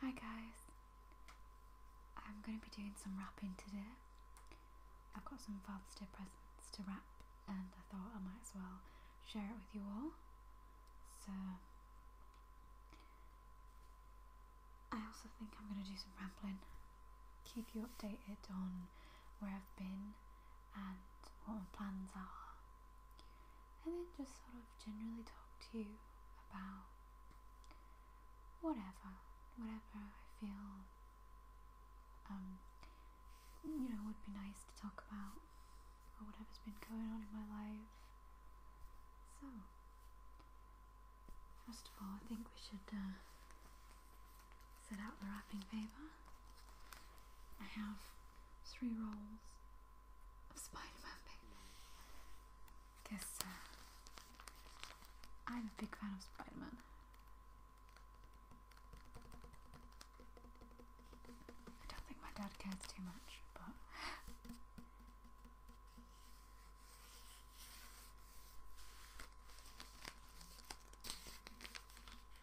Hi guys, I'm going to be doing some wrapping today. I've got some Father's Day presents to wrap and I thought I might as well share it with you all. So, I also think I'm going to do some rambling, keep you updated on where I've been and what my plans are and then just sort of generally talk to you about whatever, whatever I feel, um, you know, would be nice to talk about, or whatever's been going on in my life. So, first of all, I think we should uh, set out the wrapping paper. I have three rolls of Because uh, I'm a big fan of Spider-Man. I don't think my dad cares too much, but...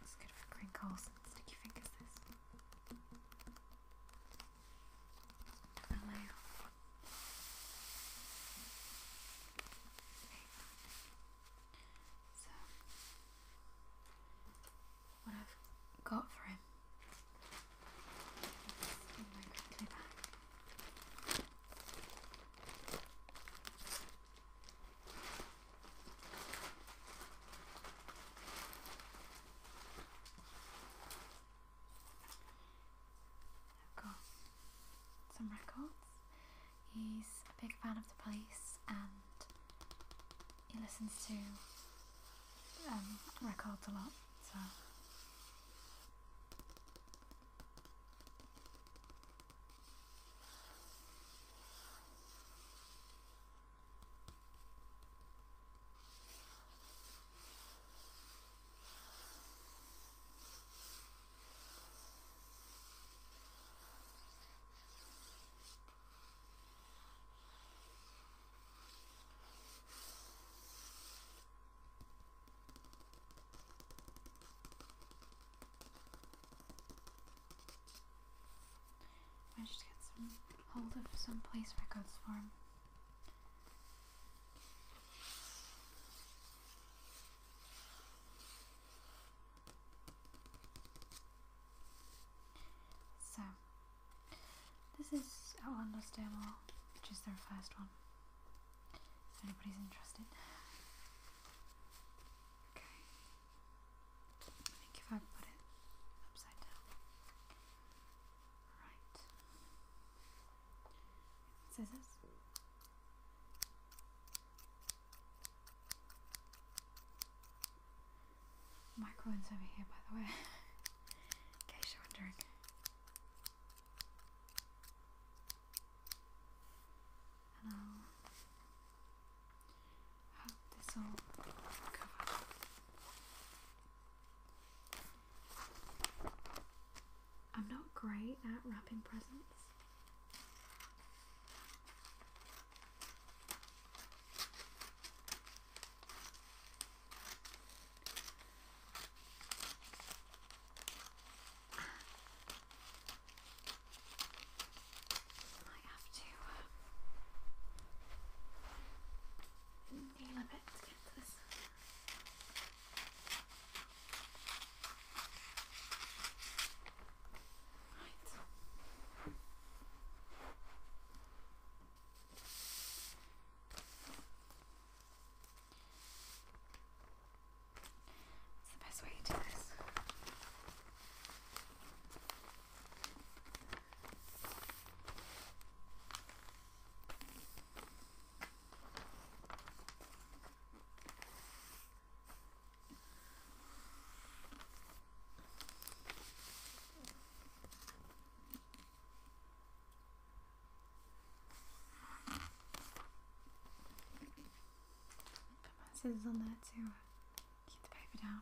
It's good for crinkles and sticky fingers, this what I've got for him got some records. He's a big fan of the police and he listens to um, records a lot, so. I just get some hold of some place records for him. So, this is Outlander's demo, which is their first one. If anybody's interested. Okay. I think if I put it upside down, Scissors. Microwave's over here, by the way. In case you're wondering. And I'll hope this all cover I'm not great at wrapping presents. Might have to uh, nail a bit to get What's the best way to do this? Put my scissors on that, to keep the paper down.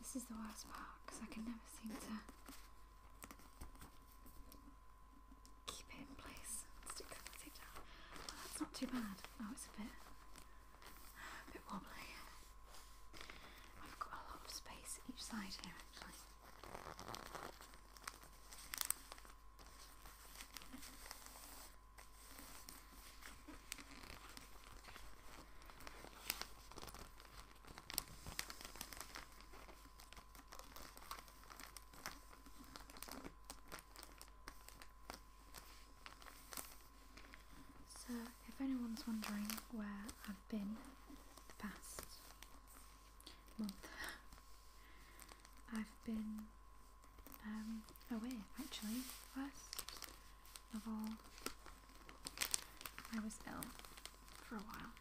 This is the worst part because I can never seem to keep it in place. Stick the down. Well, that's not too bad. Oh, it's a bit, a bit wobbly. I've got a lot of space each side here actually. So, if anyone's wondering where I've been the past month, I've been um, away actually. First, level. I was ill for a while,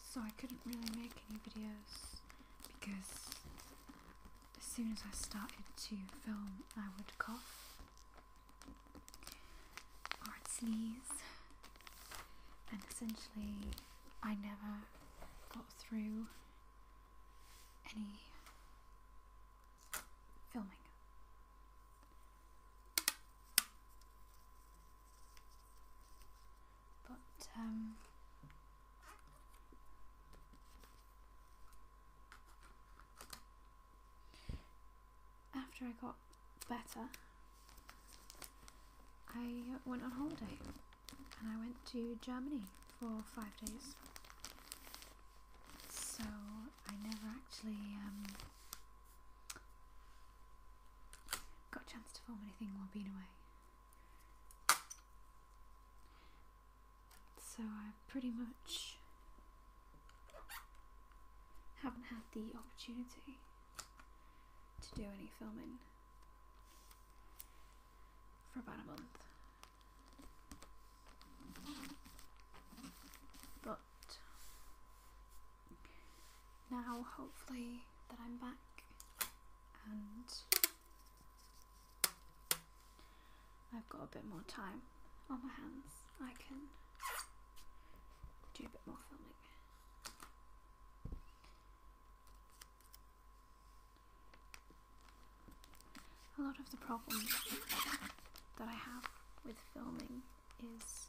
so I couldn't really make any videos because as soon as I started to film, I would cough or sneeze, and essentially, I never got through any filming. But, um, after I got better, I went on holiday and I went to Germany for five days. So I never actually um, got a chance to film anything while being away. So I pretty much haven't had the opportunity to do any filming for about a month. But now, hopefully, that I'm back and I've got a bit more time on my hands, I can do a bit more filming a lot of the problems that I have with filming is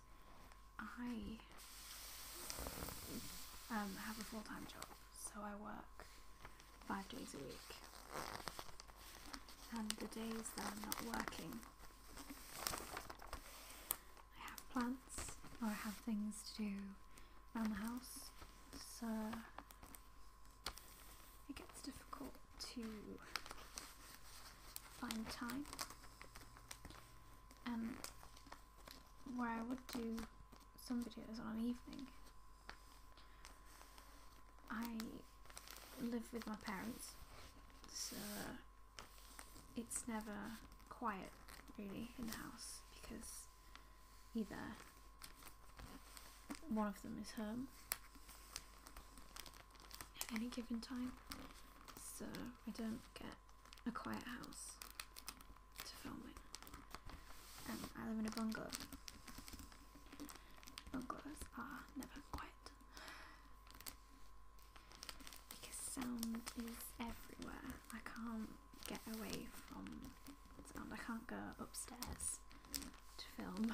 I um, have a full time job, so I work five days a week. And the days that I'm not working, I have plants or I have things to do around the house, so it gets difficult to find time. and um, where I would do some videos on an evening, I live with my parents, so it's never quiet really in the house because either one of them is home at any given time, so I don't get a quiet house to film in. Um, I live in a bungalow. Bungalows are never quiet because sound is everywhere. I can't get away from sound. I can't go upstairs to film.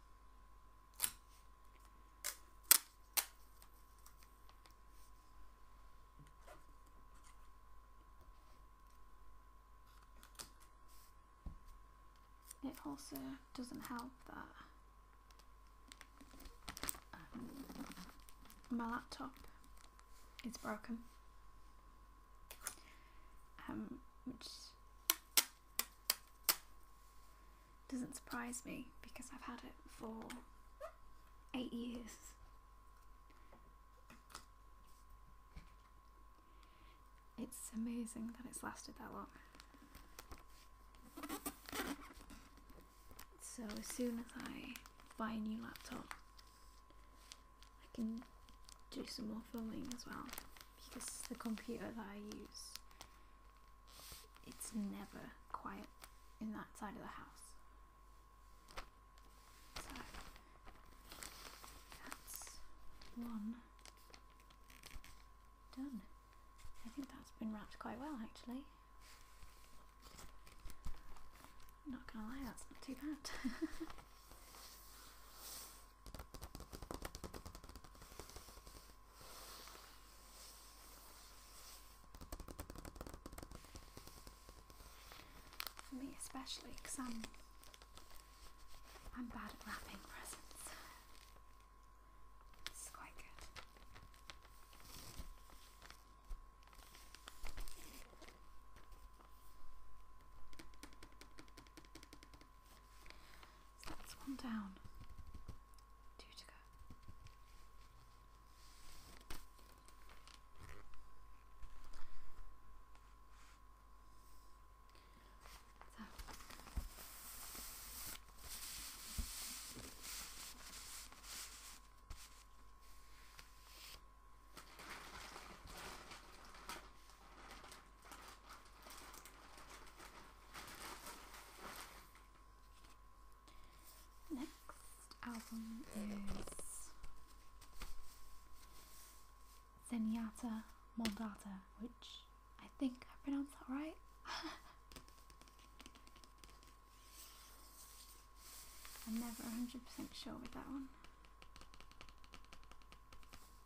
It also doesn't help that um, my laptop is broken, um, which doesn't surprise me because I've had it for eight years. It's amazing that it's lasted that long. So as soon as I buy a new laptop, I can do some more filming as well because the computer that I use, it's never quiet in that side of the house. So that's one done. I think that's been wrapped quite well actually. not gonna lie, that's not too bad. For Me especially, because I'm, I'm bad at wrapping presents. This quite good. So that's one down. Two to go. So. Next album is Zenyatta Moldata, which I think I pronounced that right. I'm never 100% sure with that one.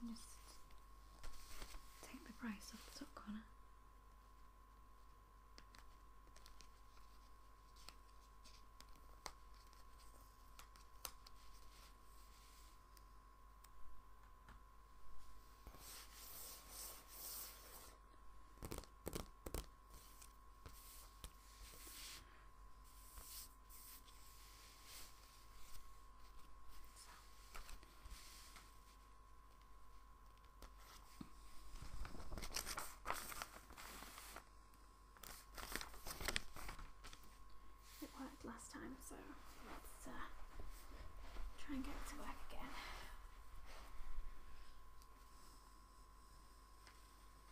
just take the price off the top corner. It worked last time, so let's uh, try and get it to work again.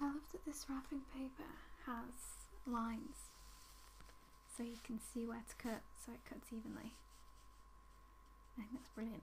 I love that this wrapping paper has lines so you can see where to cut so it cuts evenly. I think that's brilliant.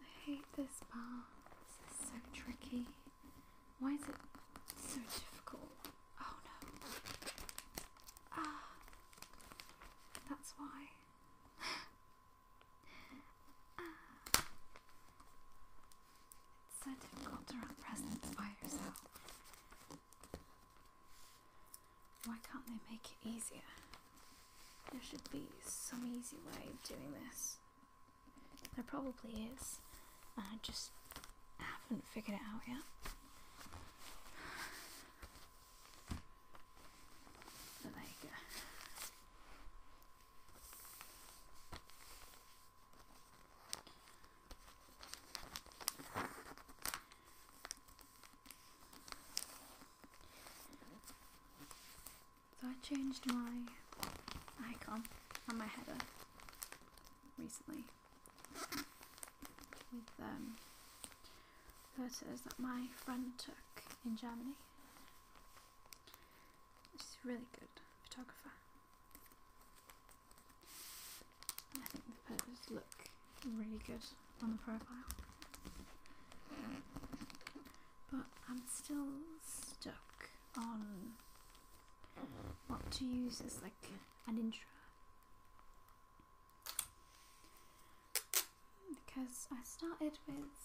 I hate this bar. This is so tricky. Why is it so difficult? Oh no. Ah. That's why. Ah. It's so difficult to run presents by yourself. Why can't they make it easier? There should be some easy way of doing this. There probably is. And I just haven't figured it out yet. there you go. So I changed my icon on my header recently with um, photos that my friend took in Germany. She's a really good photographer. I think the photos look really good on the profile. But I'm still stuck on what to use as like an intro. Because I started with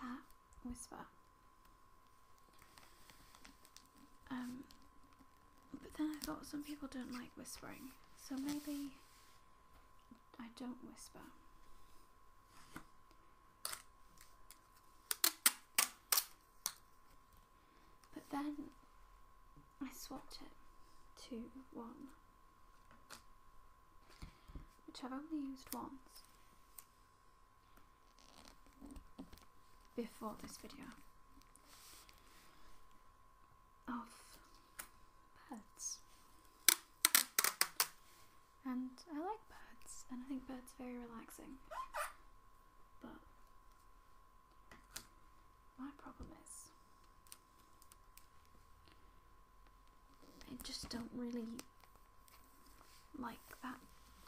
that whisper um, but then I thought some people don't like whispering, so maybe I don't whisper. But then I swapped it to one, which I've only used once before this video of birds. And I like birds, and I think birds are very relaxing. But my problem is, I just don't really like that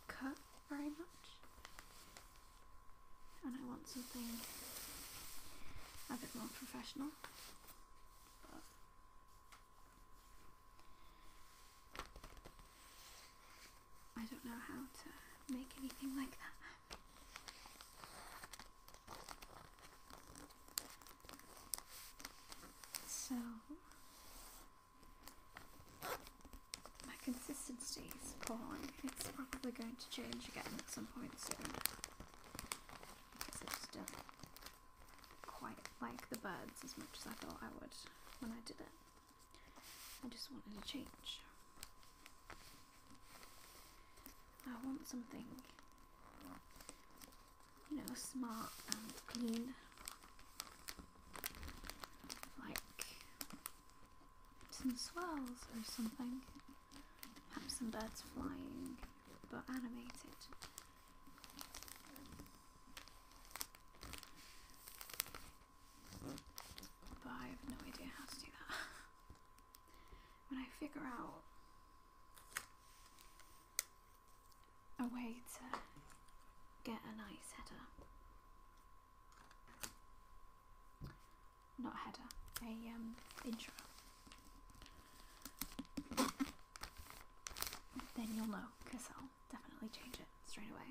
cut very much, and I want something a bit more professional. But I don't know how to make anything like that. So my consistency is appalling. It's probably going to change again at some point soon. Because I just quite like the birds as much as I thought I would when I did it. I just wanted to change. I want something, you know, smart and clean like some swells or something. Perhaps some birds flying, but animated. But I have no idea how to do that. when I figure out a way to get a nice header not a header, a um, intro. Then you'll know, because I'll definitely change it straight away.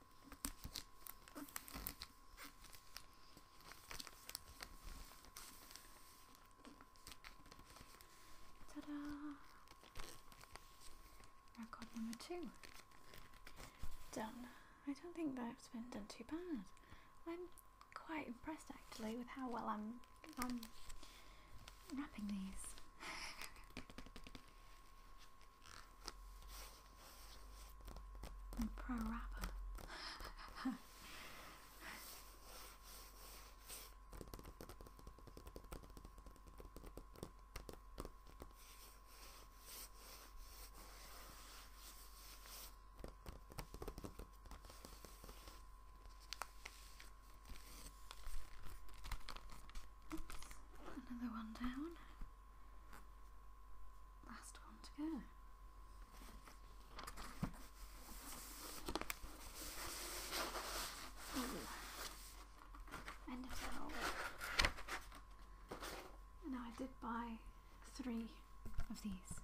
Ta-da! Record number two. Done. I don't think that's been done too bad. I'm quite impressed actually with how well I'm I'm wrapping these. I'm a pro rapper. another one down. Last one to go. Ooh. End of the whole I did buy three of these.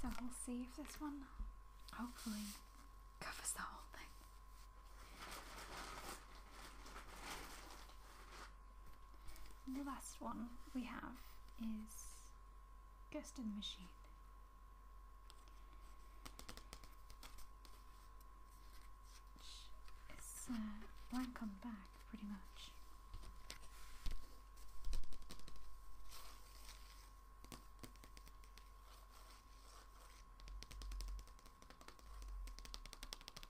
So we'll see if this one hopefully covers the whole thing the last one we have is Ghost in the Machine. Which uh, blank on the back, pretty much.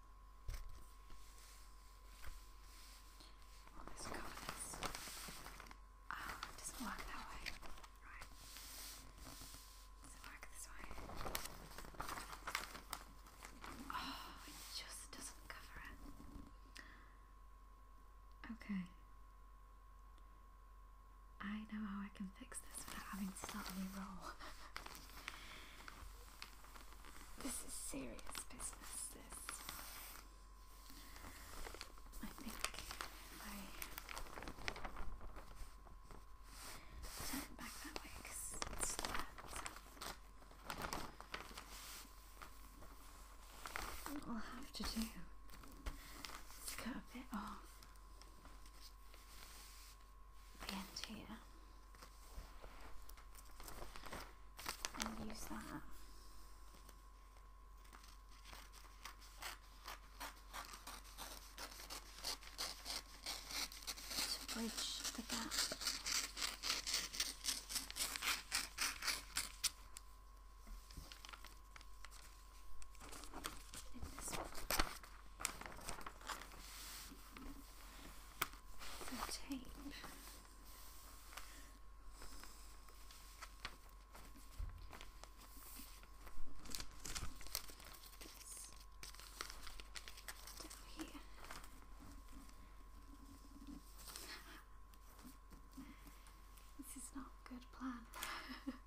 Well, this colours. Ah, it doesn't work that way. Right. Does it this way? Oh, it just doesn't cover it. Okay. I know how I can fix this without having to start roll. This is serious business, this. I think I turn it back that way because it's flat. What will have to do cut a bit off the here and use that to bridge the gap. In this one the tape. This is not a good plan.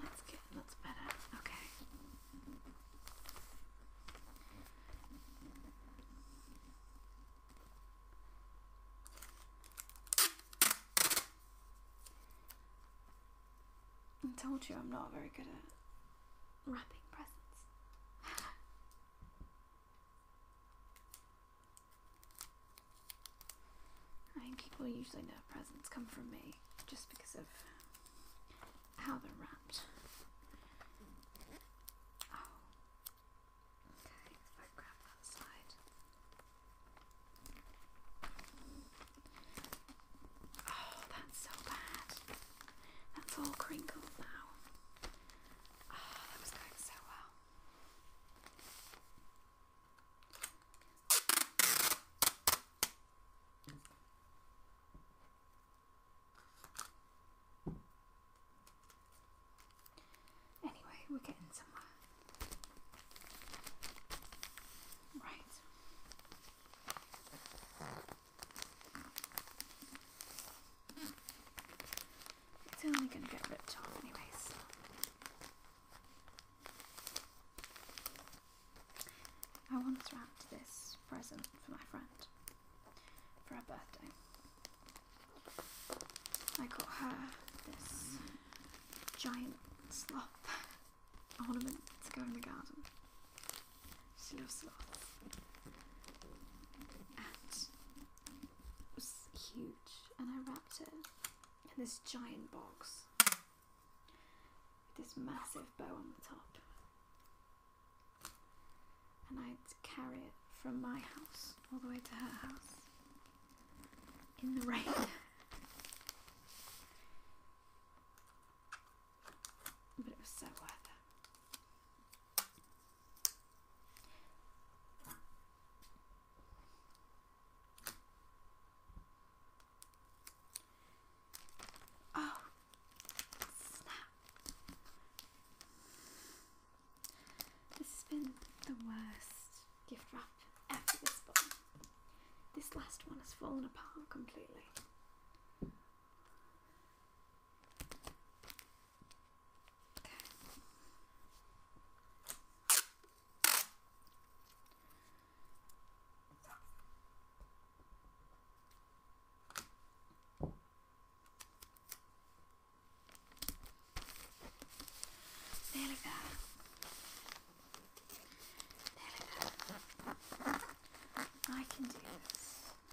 That's good, that's better, okay. I told you I'm not very good at wrapping presents. I mean, people usually know presents come from me just because of how they're wrapped. Oh. Okay, if I grab that side. Oh, that's so bad. That's all crinkled now. Oh, that was going so well. Anyway, we're getting somewhere. Right. It's only going to get ripped off anyways. I want to wrap this present for my friend for her birthday. I got her this giant sloth ornament to go in the garden. She loves sloths. And it was huge. And I wrapped it in this giant box with this massive bow on the top. And i had to carry it from my house all the way to her house in the rain. But it was so worth Oh, snap. This has been the worst gift wrap ever this bottom. This last one has fallen apart completely. Verga. Verga. I can do this.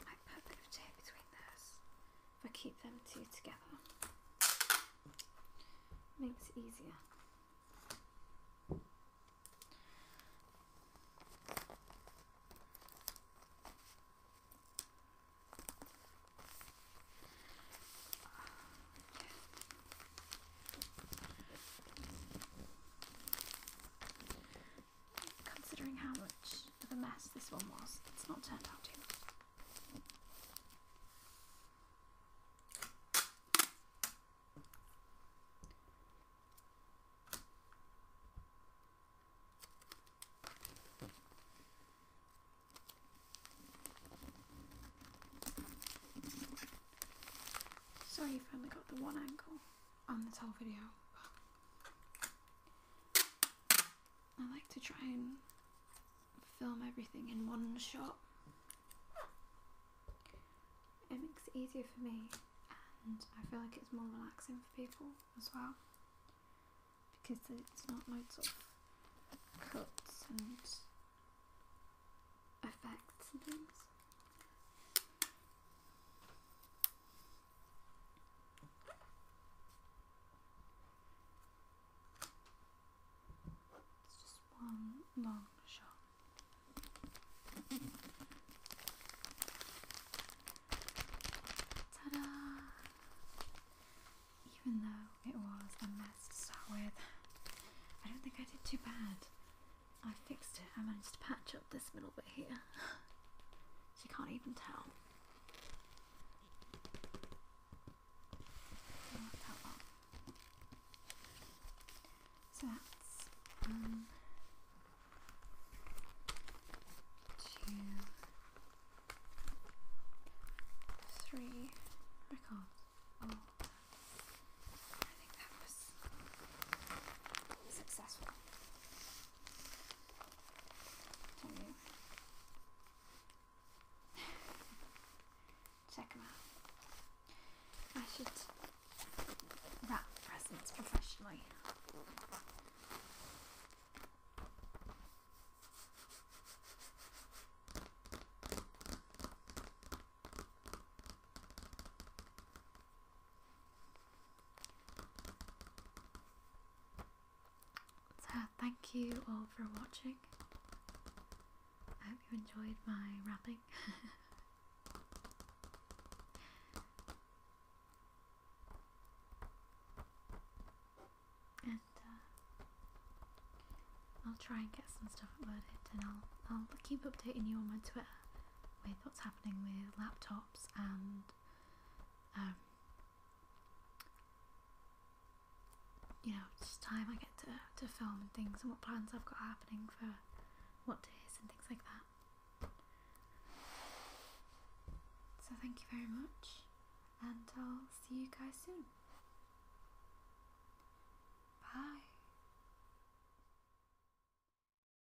I put a bit of tape between those if I keep them two together. Makes it easier considering how much of a mess this one was. It's not turned out too much. Sorry if I got the one angle on this whole video. I like to try and film everything in one shot. It makes it easier for me and I feel like it's more relaxing for people as well because it's not loads of cuts and effects and things. It's just one long shot. Ta da! Even though it was a mess to start with, I don't think I did too bad. I fixed it. I managed to patch up this middle bit here. she can't even tell. So that's um, two, three records. Oh, I think that was successful. Check them out. I should wrap presents professionally. So, thank you all for watching. I hope you enjoyed my rapping. and uh, I'll try and get some stuff uploaded, and I'll I'll keep updating you on my Twitter with what's happening with laptops and um, you know just time I get to to film and things and what plans I've got happening for what days and things like that. So thank you very much, and I'll see you guys soon. Bye.